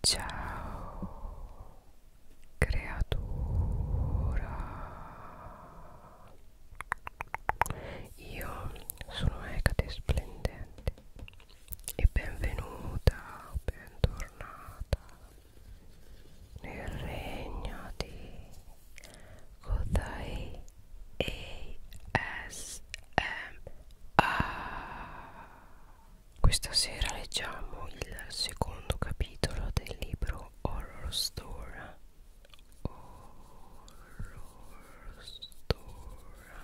Ciao creatura Io sono Ecate Splendente e benvenuta, bentornata nel regno di Kodai ASMR Questa sera leggiamo il secondo capitolo del libro Horror Store Horror Store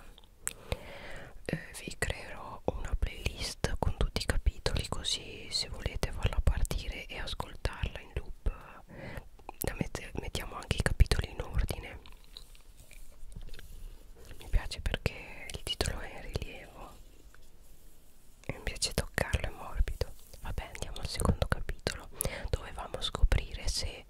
eh, Vi creerò una playlist con tutti i capitoli così se volete farla partire e ascoltarla in loop eh, Mettiamo anche i capitoli in ordine mi piace perché il titolo è in rilievo e mi piace toccarlo, è morbido vabbè andiamo al secondo capitolo dovevamo scoprire se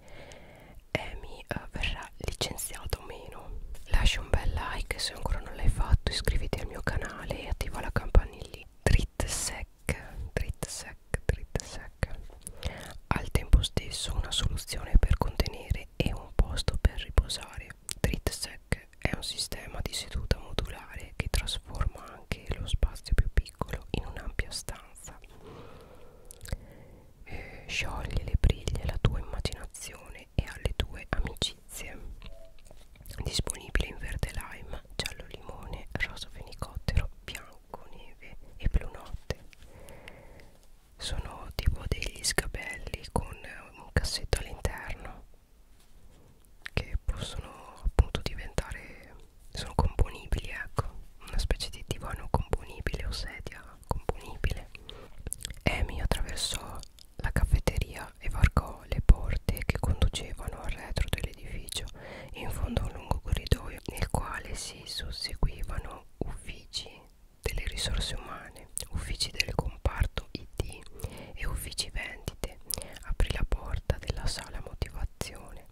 Amy eh, verrà licenziato o meno lascia un bel like se ancora non l'hai fatto iscriviti al mio canale e attiva la campanellina Dritsec sec, drit sec al tempo stesso una soluzione per contenere e un posto per riposare drit sec è un sistema di seduta modulare che trasforma anche lo spazio più piccolo in un'ampia stanza eh, scioglie le briglie la tua immaginazione e alle tue amicizie disponibile in verde lime giallo limone rosa fenicottero bianco Bianco Neve e Blu Notte sono tipo degli sgabelli con un cassetto all'interno che possono appunto diventare sono componibili ecco una specie di divano componibile o sedia componibile Amy attraversò la caffetteria e varcò le porte che conducevano al retro dell'edificio in fondo a un lungo corridoio nel quale si si susseguivano uffici delle risorse umane, uffici del comparto IT e uffici vendite. Aprì la porta della sala motivazione.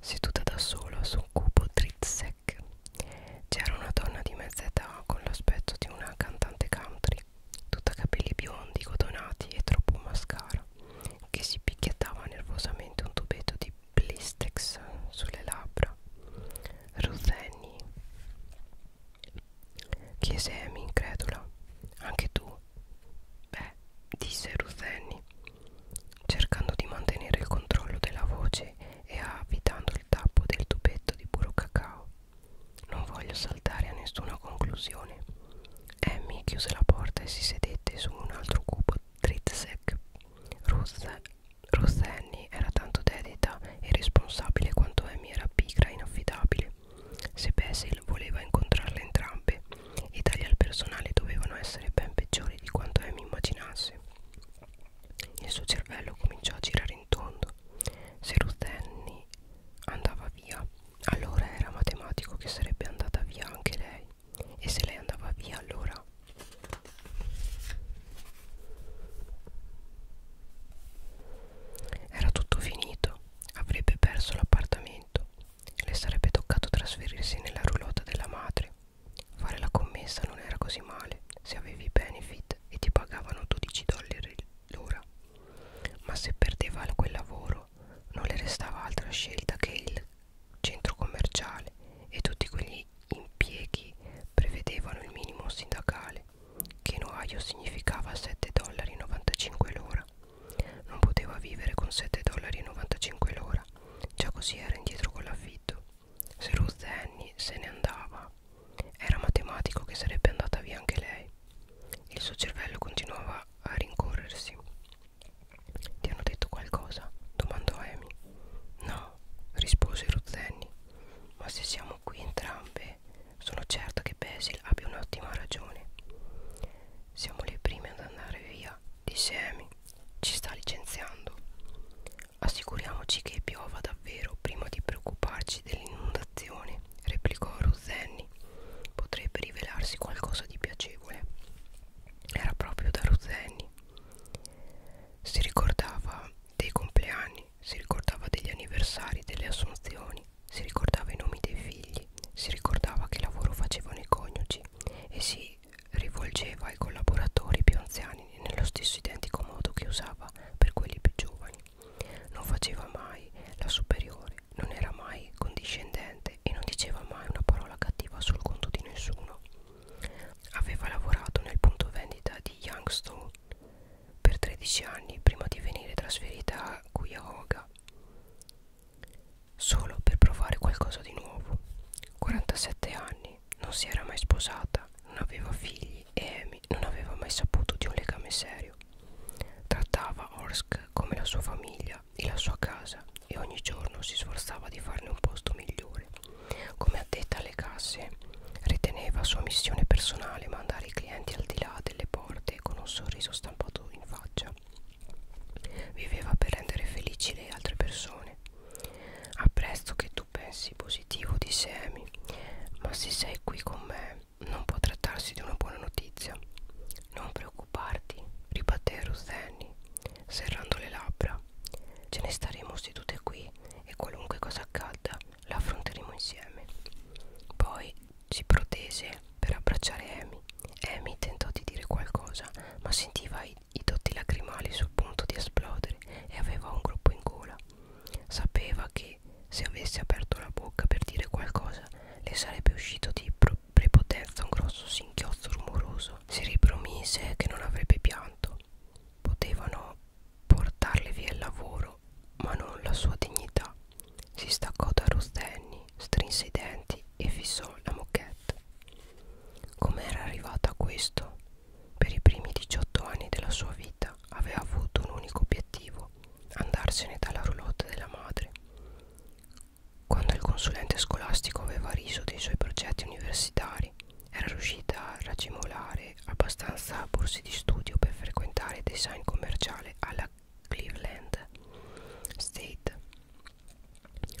Seduta da sola su un cubo drizzec, c'era una donna di mezza età con l'aspetto di una cantante country, tutta capelli biondi, cotonati e troppo mascara che si picchiettava nervosamente un tubetto di blistex sulle labbra. Ruthenny chiese Amy incredula. Anche tu? Beh, disse Ruthenny, cercando di mantenere il controllo della voce e avvitando il tappo del tubetto di puro cacao. Non voglio saltare a nessuna conclusione. Amy chiuse la porta e si sedette su un altro cubo Kotrizek. Rosenni era tanto dedita e responsabile quanto Amy era pigra e inaffidabile. Se Basil voleva incontrarle entrambe, i tagli al personale dovevano essere ben peggiori di quanto Amy immaginasse. Il suo cervello cominciò a girare in tondo. Se Rustenni andava via, allora era matematico che sarebbe andata via anche lei e se lei andava via allora era tutto finito avrebbe perso l'appartamento le sarebbe toccato trasferirsi nella roulotte della madre fare la commessa non era così male se avevi benefit e ti pagavano 12 dollari l'ora ma se perdeva quel lavoro non le restava altra scelta che il centro commerciale e tutti quegli impieghi prevedevano il minimo sindacale che in Ohio significava 7,95 dollari l'ora. Non poteva vivere con 7,95 dollari l'ora, già così era indietro con l'affitto. Se Ruth Annie se ne andava, era matematico che sarebbe andata via anche lei. Il suo cervello continuava a rincorrersi. Ti hanno detto qualcosa? domandò Amy. No, rispose Ruzzeni. Ma se siamo qui entrambe, sono certa che Basil abbia un'ottima ragione. Siamo le prime ad andare via, disse Amy. Ci sta licenziando. Assicuriamoci che piova davvero prima di preoccuparci dell'inondazione, replicò Ruzzeni. Potrebbe rivelarsi qualcosa di piacevole era proprio da Ruzzeni si ricordava dei compleanni si ricordava degli anniversari delle assunzioni si ricordava i nomi dei figli si ricordava che lavoro facevano i coniugi e si rivolgeva ai collaboratori più anziani nello stesso identico modo che usava per quelli più giovani non faceva mai la superiore non era mai condiscendente e non diceva mai una parola cattiva sul conto di nessuno. Aveva lavorato nel punto vendita di Youngstown per 13 anni prima di venire trasferita qui a Hoga, solo per provare qualcosa di nuovo. 47 anni, non si era mai sposata, non aveva figli e Amy non aveva mai saputo di un legame serio. Trattava Orsk come la sua famiglia villa e la sua casa e ogni giorno si sforzava di farne un posto migliore. Come addetta alle casse, riteneva sua missione personale mandare i clienti al di là delle porte con un sorriso stampato in faccia. Viveva per rendere felici le altre persone. Apprezzo che tu pensi positivo di Semi, ma se sei qui con me non può trattarsi di una buona notizia. Non preoccuparti preoccuparti, ribatté Ruzzeni, serrando le labbra. Ce ne staremo sedute qui e qualunque cosa accada la affronteremo insieme. Poi si protese per abbracciare Amy. Amy tentò di dire qualcosa, ma sentiva i, i dotti lacrimali sul punto di esplodere e aveva un gruppo in gola. Sapeva che se avesse aperto la bocca per dire qualcosa le sarebbe uscito di pro prepotenza un grosso singhiozzo rumoroso. Si ripromise che non avrebbe pianto. Potevano portarle via il lavoro, ma non la sua dignità. Si staccò da Rostenni, strinse i denti e fissò la moquette. Com'era arrivata a questo? Per i primi 18 anni della sua vita aveva avuto un unico obiettivo, andarsene dalla roulotte della madre. Quando il consulente scolastico aveva riso dei suoi progetti universitari, era riuscita a racimolare abbastanza borse di studio per frequentare design commerciale alla Cleveland State.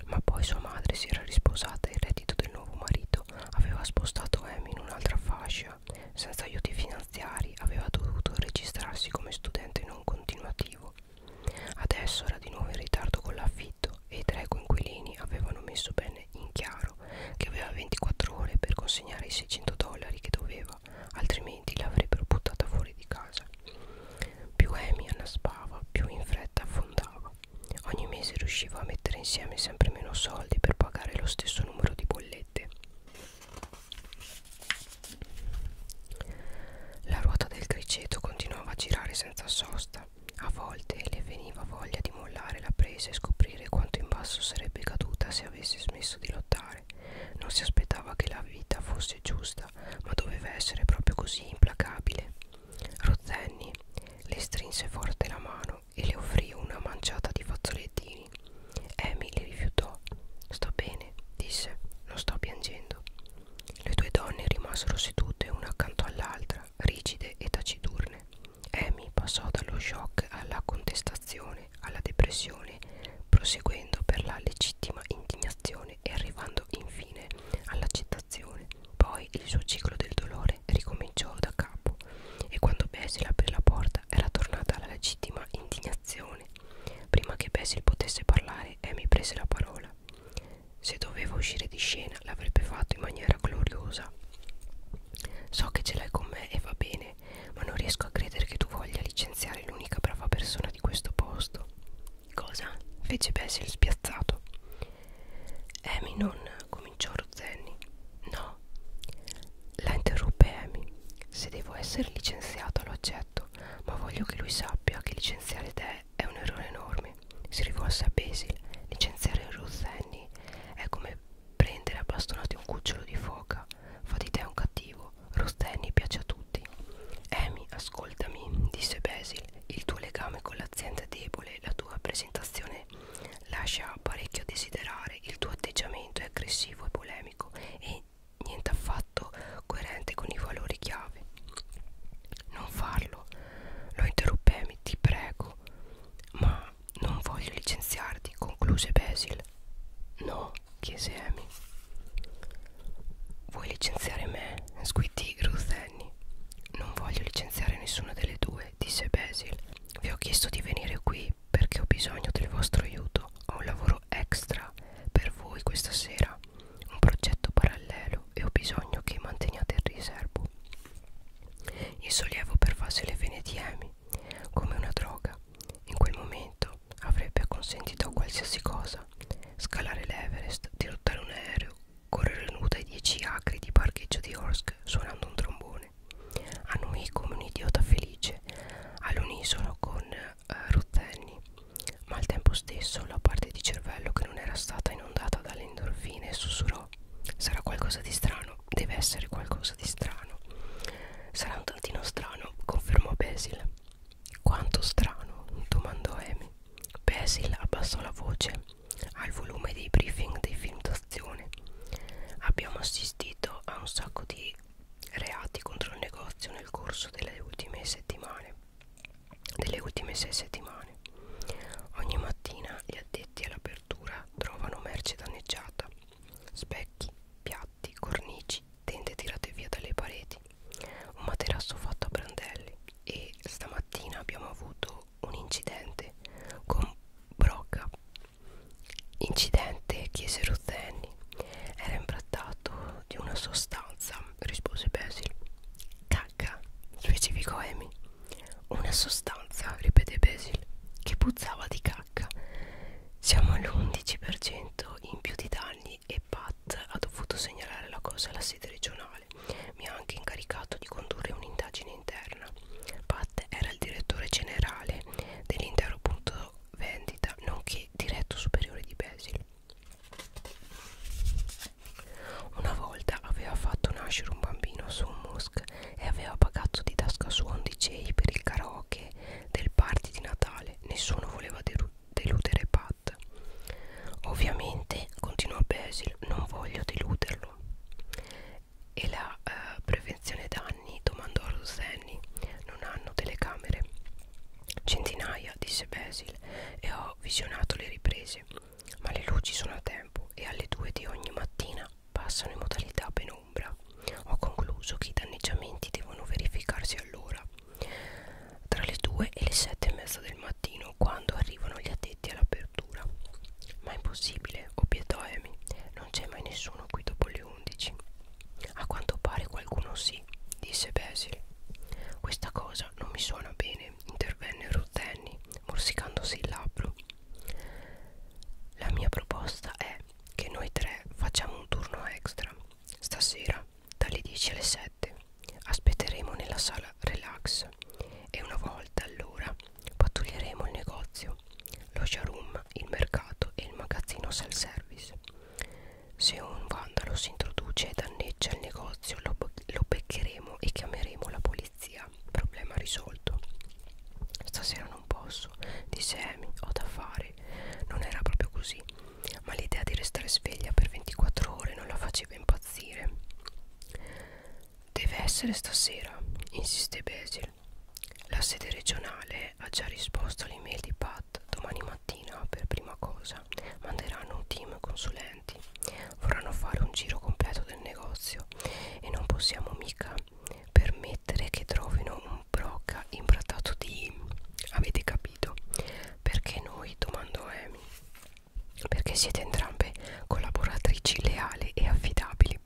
Ma poi sua madre si era risposata e il reddito del nuovo marito aveva spostato Amy in un'altra fascia. Senza aiuti finanziari aveva dovuto registrarsi come studente non continuativo Adesso era di nuovo in ritardo con l'affitto e i tre coinquilini avevano messo bene in chiaro che aveva 24 ore per consegnare i 600 dollari che doveva, altrimenti l'avrebbero buttata fuori di casa. Più Amy annaspava, più in fretta affondava. Ogni mese riusciva a mettere insieme sempre meno soldi per pagare lo stesso numero di bollette. La ruota del criceto continuava a girare senza sosta. A volte le veniva voglia di mollare la presa e scoprire quanto in basso sarebbe caduta se avesse smesso di lottare. Non si aspettava che la vita fosse giusta, ma doveva essere proprio così implacabile. Rozzenni le strinse forte la mano e le offrì una manciata di fazzolettini. Emily rifiutò. Sto bene, bene, disse, non sto piangendo. Le due donne rimasero sedute una accanto all'altra, rigide e taciturne. Amy passò dallo shock alla contestazione, alla depressione, proseguendo per la legittima indignazione e arrivando infine all'accettazione. Poi il suo ciclo del dolore ricominciò da capo e quando Basil aprì la porta era tornata alla legittima indignazione reazione. Prima che Basil potesse parlare, Amy prese la parola. Se doveva uscire di scena, l'avrebbe fatto in maniera gloriosa. So che ce l'hai con me e va bene, ma non riesco a credere che tu voglia licenziare l'unica brava persona di questo posto. Cosa? fece Basil spiazzato. Amy non cominciò Rozenni. No, la interruppe Amy. Se devo essere licenziato lo accetto, sconvolto, ma voglio che lui sappia che licenziare te è un errore enorme. Si rivolse a Basil. Licenziare Ruth Annie è come prendere a bastonati un cucciolo di foca. Fa di te un cattivo. Ruth Annie piace a tutti. Amy, ascoltami, disse Basil. Il tuo legame con l'azienda è debole, la tua presentazione lascia parecchio a desiderare, il tuo atteggiamento è aggressivo e polemico e niente affatto coerente con i valori chiave. Non farlo, lo interruppemi, ti prego. Ma non voglio licenziarti, concluse Basil. No, chiese Amy. Vuoi licenziare me? squittì Ruth Annie. Non voglio licenziare nessuna delle due, disse Basil. Vi ho chiesto di venire qui perché ho bisogno del vostro aiuto. Ho un lavoro lavoro extra per voi questa sera un progetto parallelo e ho bisogno che manteniate il riservo il sollievo per farsi le venetiemi come una droga in quel momento avrebbe consentito a qualsiasi cosa scalare l'Everest, dirottare un aereo, correre nuda ai 10 acri di parcheggio di Orsk suonando un trombone. A noi come un idiota felice, all'unisono con eh, rotenni, ma al tempo stesso la parte di cervello che non era stata inondata dalle endorfine sussurrò: Sarà qualcosa di strano, deve essere qualcosa di strano. Sarà un tantino strano, confermò Basil. Quanto strano? domandò Amy. Basil abbassò la voce al volume dei briefing dei film d'azione. Abbiamo assistito a un sacco di reati contro il negozio nel corso delle ultime settimane delle ultime sei settimane ogni mattina gli addetti all'apertura trovano merce danneggiata specchi piatti cornici tende tirate via dalle pareti un materasso fatto a brandelli e stamattina abbiamo avuto un incidente con brocca incidente chiese Ruthen anni. Era imbrattato di una sostanza, rispose Basil. Cacca, specificò Amy. Una sostanza, ripeté Basil, che puzzava di cacca. Siamo all'11% in più di danni e Pat ha dovuto segnalare la cosa alla sede regionale. Mi ha anche incaricato di condurre un'indagine interna. Pat era il direttore generale dell'intero punto vendita nonché diretto superiore di Basil. Una volta aveva fatto nascere un bambino su un musk e aveva pagato di tasca sua 11 per il karaoke del party di Natale. Nessuno voleva deludere Pat. Ovviamente, continuò Basil, non voglio deluderlo. E la eh, prevenzione danni domandò a Rosé anni non hanno telecamere. Centinaia, disse Basil, e ho visionato le riprese. Ma le luci sono a tempo e alle due di ogni mattina passano in modalità penombra. Ho concluso che i danneggiamenti devono verificarsi allora. Tra le due e le sette e mezza del mattino, quando arrivano gli addetti all'apertura. Ma è impossibile, obiettò Amy. Non c'è mai nessuno qui dopo le 11. 11. A quanto pare qualcuno sì, disse Basil. Questa cosa non mi suona bene, intervenne Ruth Annie, morsicandosi il labbro. La mia proposta è che noi tre facciamo un turno extra. Stasera, dalle 10 alle 7, aspetteremo nella sala relax e una volta all'ora pattuglieremo il negozio, lo showroom, il mercato e il magazzino self-service. Se un vandalo si introduce e danneggia il negozio lo, lo beccheremo e chiameremo la polizia. Problema risolto. Stasera non posso, disse Amy, ho da fare. Non era proprio così, ma l'idea di restare sveglia per 24 ore non la faceva impazzire. Deve essere stasera, insiste Basil. La sede regionale ha già risposto all'email di Pat domani mattina per prima cosa. Manderanno un team consulenti. Vorranno fare un giro completo del negozio e non possiamo mica permettere che trovino un brocca imbrattato di... avete capito? Perché noi, domando Amy, perché siete entrambe collaboratrici leali e affidabili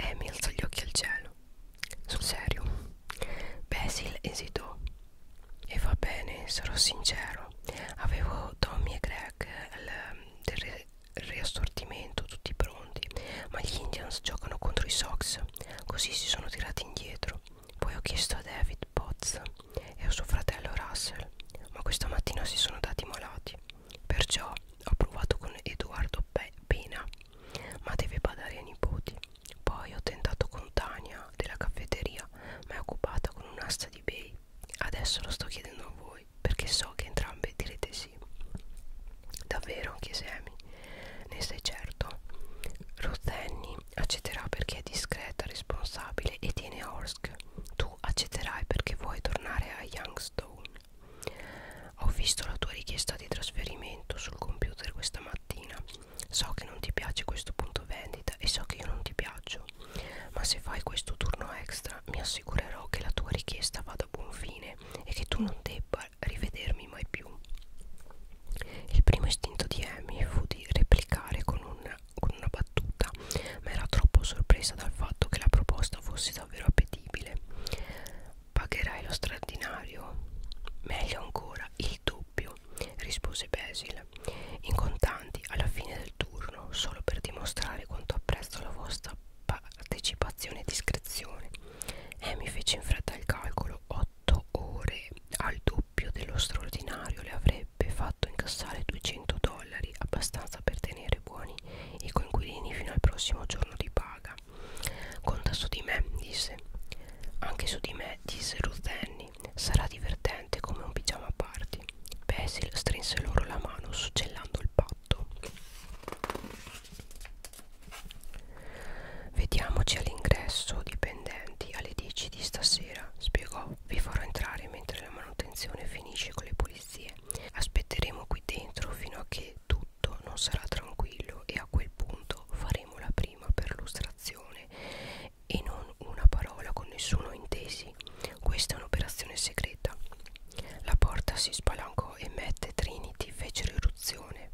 Amy alzò gli occhi al cielo. Sul serio? Basil esitò. E va bene, sarò sincero. Avevo Tommy e Greg del re riassortimento tutti pronti, ma gli Indians giocano contro i Sox, così si sono tirati indietro. Poi ho chiesto a David Potts e a suo fratello Russell, ma questa mattina si sono dati malati. Perciò ho provato con Edoardo Pe Pena ma deve badare ai nipoti. Poi ho tentato con Tania della caffetteria, ma è occupata con un'asta di bei. Adesso lo sto chiedendo a voi, perché so che entrambe direte sì. Davvero, chiese Amy. Ne sei certo? Rothenny accetterà perché è discreta, responsabile e tiene a Orsk. Tu accetterai perché vuoi tornare a Youngstone. Ho visto la tua richiesta di trasferimento sul computer questa mattina. So che non ti piace questo punto vendita e so che io non ti piaccio. Ma se fai questo turno extra mi assicurerò che la tua richiesta vada a buon fine e che tu non debba rivedermi mai più. Il primo istinto di Amy fu di replicare con una, con una battuta, ma era troppo sorpresa dal fatto che la proposta fosse davvero appetibile. Pagherai lo straordinario? Meglio ancora, il doppio, rispose Basil, in contanti alla fine del turno, solo per dimostrare quanto apprezzo la vostra partecipazione e discrezione. E mi fece in fretta il calcolo, otto ore al doppio dello straordinario le avrebbe fatto incassare 200 dollari, abbastanza per tenere buoni i coinquilini fino al prossimo giorno di paga. Conta su di me, disse. Anche su di me, disse Ruth Annie. Sarà divertente come un pigiama a party. Basil strinse loro la mano, succellando il patto. Vediamoci all'ingresso, dipendenti, alle 10 di stasera, spiegò. Vi farò entrare mentre la manutenzione finisce con le pulizie morire. Aspetteremo qui dentro fino a che tutto non sarà tranquillo e a quel punto faremo la prima perlustrazione e non una parola con nessuno intesi. Questa è un'operazione segreta. La porta si spalancò e Matt e Trinity fecero irruzione.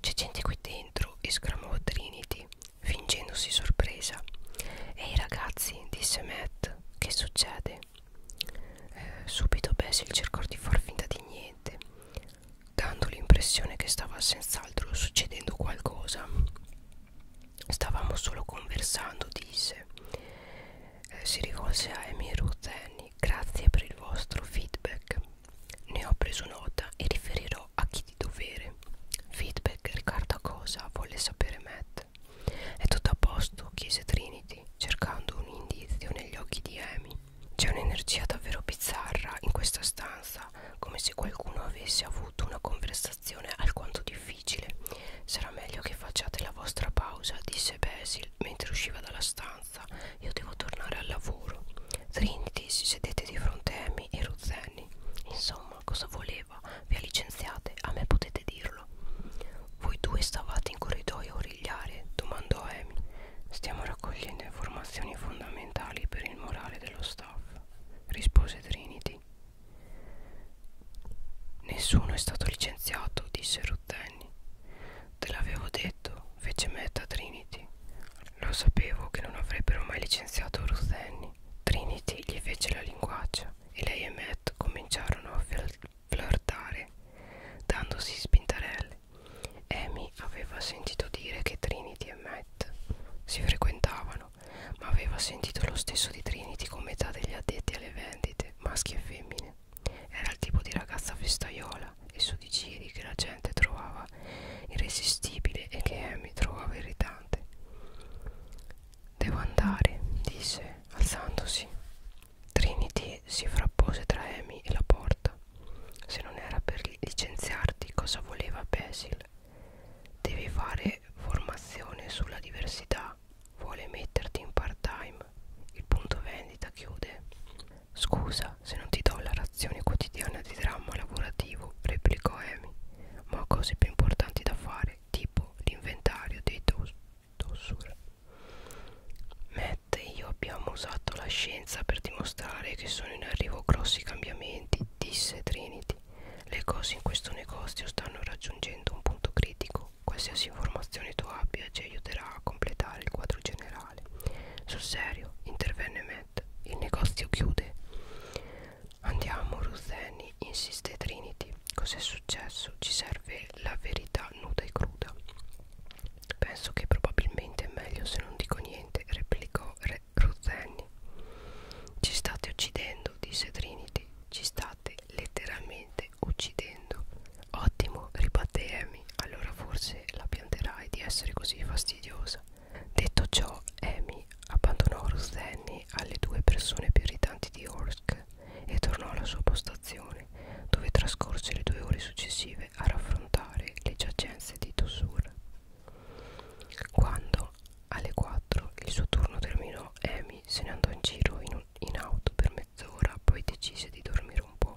C'è gente qui dentro, esclamò Trinity, fingendosi sorpresa. Ehi ragazzi, disse Matt, che succede? eh, subito Basil cercò di far finta di niente dando l'impressione che stava senz'altro succedendo qualcosa stavamo solo conversando disse eh, si rivolse a Amy Rutheni grazie per il vostro feedback ne ho preso nota e riferirò a chi di dovere feedback riguardo a cosa volle sapere Matt è tutto a posto chiese Trini gomiti, cercando un indizio negli occhi di Amy. C'è un'energia davvero bizzarra in questa stanza, come se qualcuno avesse avuto una conversazione alquanto difficile. Sarà meglio che facciate la vostra pausa, disse Basil mentre usciva dalla stanza. Io devo tornare al lavoro. Trinity si sedette di fronte a Amy e Ruzzeni. Insomma, cosa voleva? Vi ha licenziate? A me potete dirlo capirlo. Voi due stavate in corridoio a origliare, domandò Amy. Stiamo raccogliendo informazioni fondamentali per il morale dello staff, rispose Trinity. Nessuno è stato licenziato, disse Ruttenny. Te l'avevo detto, fece metta Trinity. Lo sapevo che non avrebbero mai licenziato Ruthenny. Trinity gli fece la linguaccia e lei e Matt cominciarono a flirtare dandosi spintarelle. Amy aveva sentito dire che Trinity e Matt si frequentavano, ma aveva sentito lo stesso di Trinity con metà degli addetti alle vendite, maschi e femmine. Era il tipo di ragazza festaiola e su di giri che la gente trovava irresistibile e che Amy trovava irritante. Devo andare, disse alzandosi. Trinity si frappose tra Amy e la porta. Se non era per licenziarti, cosa voleva Basil? Devi fare formazione sulla diversità. Vuole metterti in part-time. Il punto vendita chiude. Scusa se non ti do la razione quotidiana di dramma lavorativo, replicò Amy. Ma ho cose più importanti da fare, tipo l'inventario dei, Dossur Matt e io abbiamo usato la scienza per dimostrare che sono in arrivo grossi cambiamenti, disse Trinity. Le cose in questo negozio stanno raggiungendo un punto critico. Qualsiasi informazione tu abbia ci aiuterà a completare il quadro generale. Sul serio, intervenne Matt, il negozio chiude. Andiamo, Rutheni, insiste Trinity. Cos'è successo? Ci serve la verità sia nuda e cruda. Penso che probabilmente è meglio se non dico niente, replicò Re Ruzzeni. Ci state uccidendo, disse Trinity. Ci state letteralmente uccidendo. Ottimo, ribatté Amy. Allora forse la pianterai di essere così fastidiosa. Detto ciò, Amy abbandonò Ruzzeni alle due persone più irritanti di Orsk e tornò alla sua postazione, dove trascorse le due ore successive a raffrontare le giacenze di Tossur. Quando alle 4 il suo turno terminò, Amy se ne andò in giro in, un, in auto per mezz'ora, poi decise di dormire un po'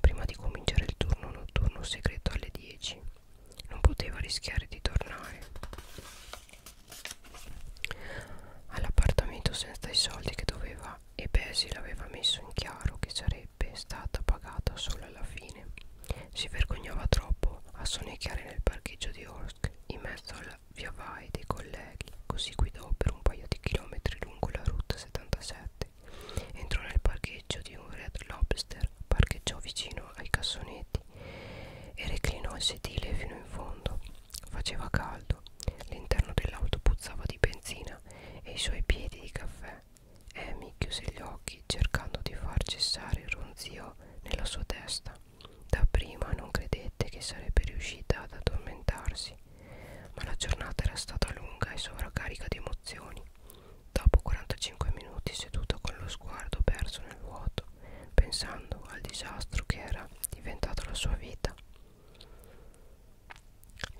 prima di cominciare il turno notturno segreto alle 10. Non poteva rischiare di tornare all'appartamento senza i soldi che doveva e Basil aveva messo in chiaro che sarebbe stata pagata solo alla fine. Si vergognava troppo a sonnecchiare nel parcheggio di Orsk in mezzo al via vai dei colleghi, così guidò per un paio di chilometri lungo la route 77. Entrò nel parcheggio di un Red Lobster, parcheggiò vicino ai cassonetti e reclinò il sedile fino in fondo. Faceva caldo, l'interno dell'auto puzzava di benzina e i suoi piedi di caffè. Amy chiuse gli occhi cercando di far cessare il ronzio nella sua testa. Da prima non credette che sarebbe riuscita ad addormentarsi, ma la giornata era stata lunga e sovraccarica di emozioni. Dopo 45 minuti seduta con lo sguardo perso nel vuoto, pensando al disastro che era diventata la sua vita,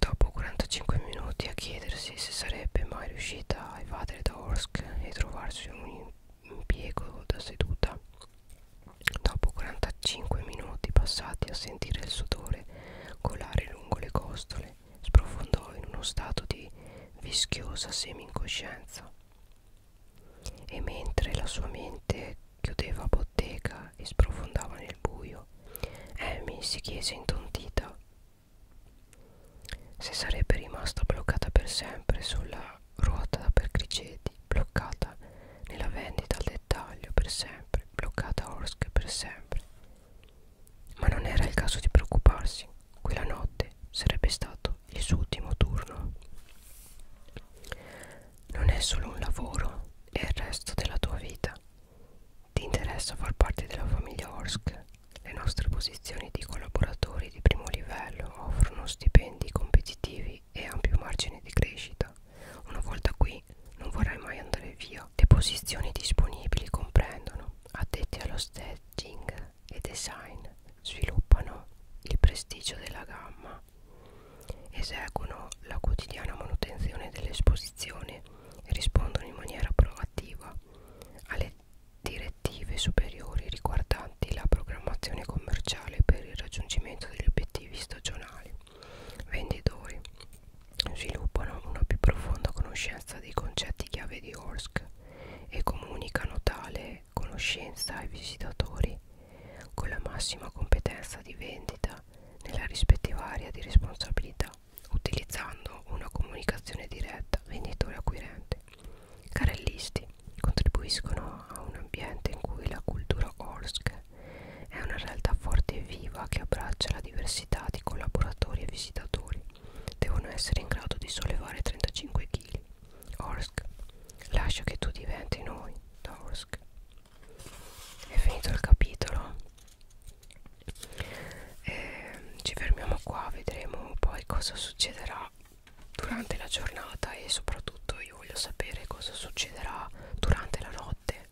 Dopo 45 minuti a chiedersi se sarebbe mai riuscita a evadere da Orsk e trovarsi un impiego da seduta, dopo 45 minuti passati a sentire il sudore colare lungo le costole, sprofondò in uno stato di vischiosa semi-incoscienza. E mentre la sua mente chiudeva bottega e sprofondava nel buio, Amy si chiese intontita se sarebbe rimasta bloccata per sempre sulla ruota per criceti, bloccata nella vendita al dettaglio per sempre, bloccata a Orsk per sempre. Ma non era il caso di preoccuparsi, quella notte sarebbe stato il suo ultimo turno non è solo un lavoro, è il resto della tua vita. Ti interessa far parte della famiglia Orsk? Le nostre posizioni di collaboratori di primo livello offrono stipendi competitivi e ampio margine di crescita. Una volta qui non vorrai mai andare via. Le posizioni disponibili comprendono addetti allo staging e design, sviluppano il prestigio della gamma Eseguono la quotidiana manutenzione dell'esposizione e rispondono in maniera proattiva alle direttive superiori riguardanti la programmazione commerciale per il raggiungimento degli obiettivi stagionali. Venditori sviluppano una più profonda conoscenza dei concetti chiave di Orsk e comunicano tale fare conoscenza ai visitatori con la massima competenza di vendita nella rispettiva area di responsabilità utilizzando una comunicazione diretta venditore-acquirente. Carellisti contribuiscono a un ambiente in cui la cultura Orsk è una realtà forte e viva che abbraccia la diversità di collaboratori e visitatori. Devono essere in grado di sollevare 35 kg Orsk lascia che tu diventi noi da Orsk è finito il capitolo e ehm, ci fermiamo qua vedremo poi cosa succederà durante la giornata e soprattutto io voglio sapere cosa succederà durante la notte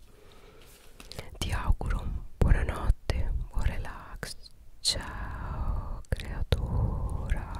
ti auguro buonanotte buon relax ciao creatura